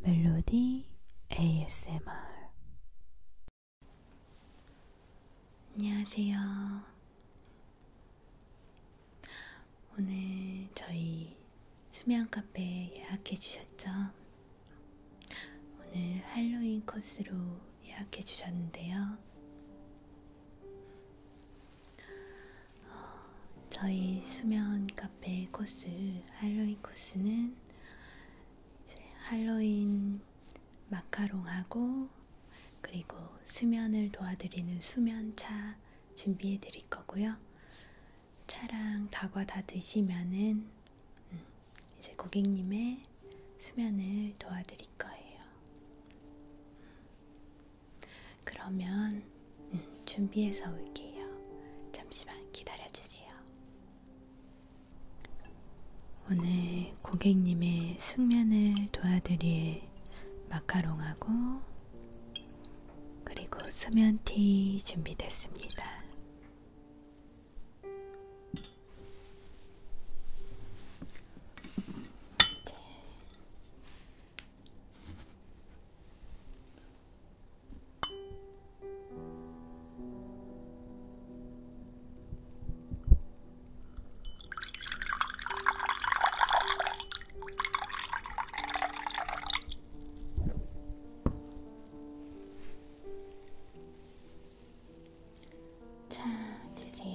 멜로디 ASMR 안녕하세요. 오늘 저희 수면 카페 예약해 주셨죠? 오늘 할로윈 코스로 예약해 주셨는데요. 어, 저희 수면 카페 코스 할로윈 코스는 이제 할로윈 마카롱하고 그리고 수면을 도와드리는 수면차 준비해 드릴 거고요. 차랑 다과 다 드시면은 음, 이제 고객님의 수면을 도와드릴 거예요. 그러면 음, 준비해서 올게요. 잠시만 기다려주세요. 오늘 고객님의 숙면을 도와드릴 마카롱하고 그리고 수면티 준비됐습니다. 네. 자, 드세요.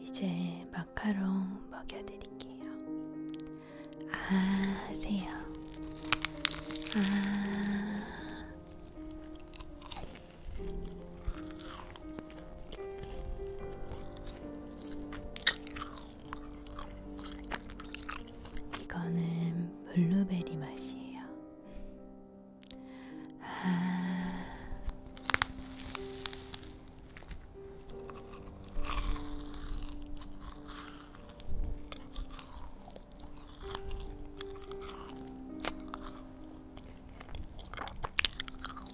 이제 마카롱 먹여드릴게요. 아세요. 아. 이거는 블루베리 맛이에요. 아...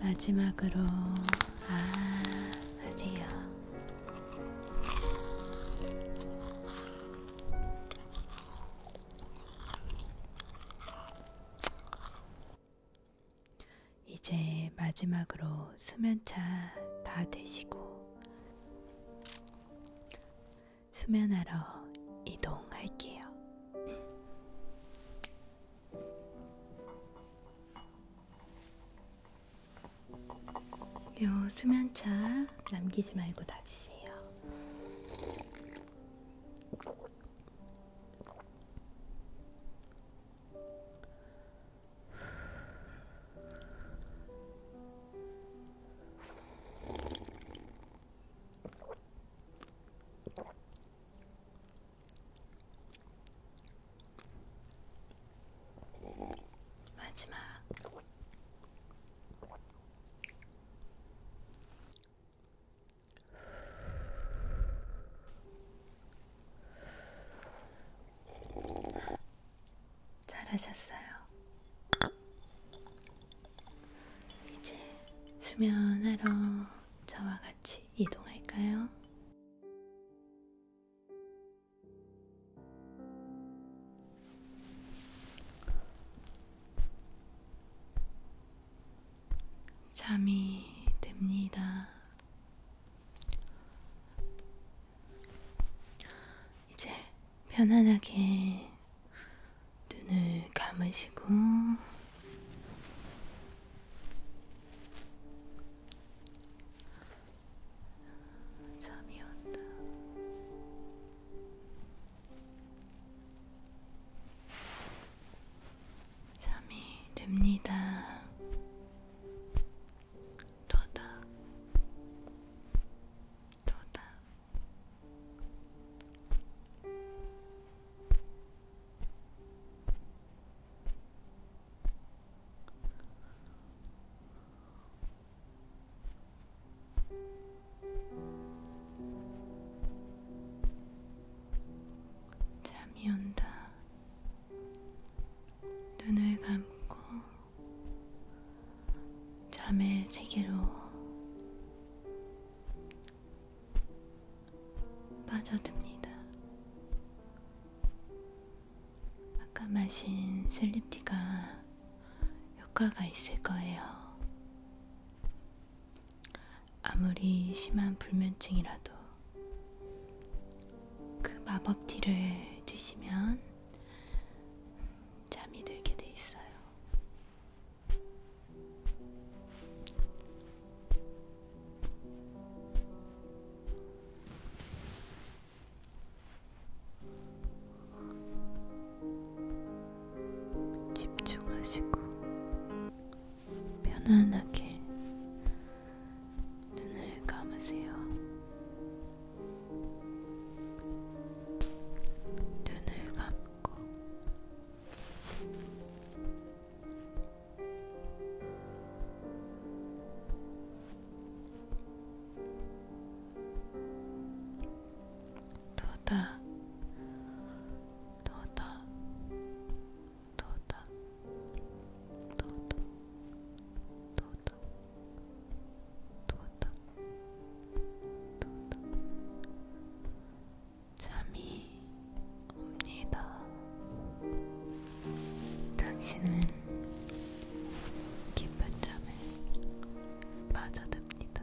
마지막으로 아 하세요. 이제 마지막으로 수면차 다 드시고 수면하러 이동할게요. 요 수면차 남기지 말고 다 드세요. 마지막 잘하셨어요. 이제 수면하러 저와 같이 이동할까요? 잠이 됩니다. 이제 편안하게 눈을 감으시고 잠이 온다. 잠이 듭니다. 도닥, 도닥. 잠이 온다. 눈을 감고 잠의 세계로 빠져듭니다. 아까 마신 슬립티가 효과가 있을 거예요. 아무리 심한 불면증이라도 그 마법티를 드시면 잠이 들게 돼 있어요. 집중하시고 편안하게 눈을 감으세요. 눈을 감고 도다 도다 도덕 도덕 도덕 도덕 도덕 잠이 옵니다. 당신은 깊은 잠에 빠져듭니다.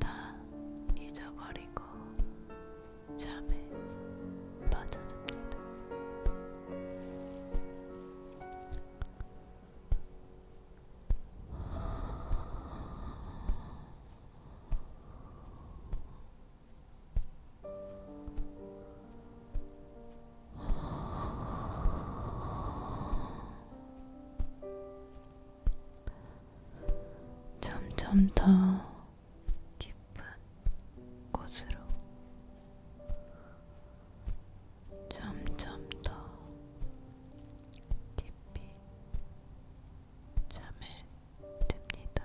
다 잊어버리고 잠에 빠져듭니다. 점점 더 깊은 곳으로 점점 더 깊이 잠에 듭니다.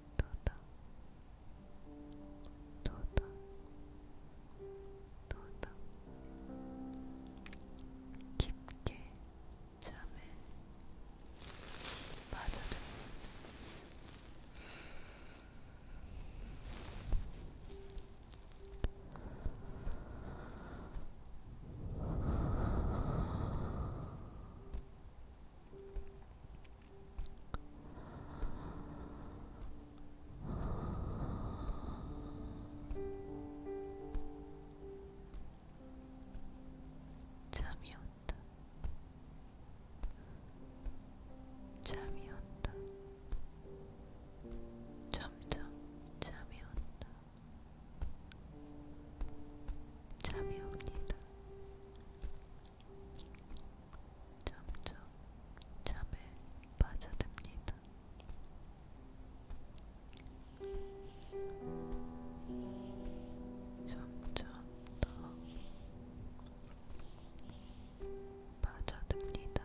도덕 도덕 도덕 깊게 잠에 빠져듭니다. 잠이 온다. 잠이 온다. 점점 잠이 온다. 잠이 옵니다. 점점 잠에 빠져듭니다. 점점 더 빠져듭니다.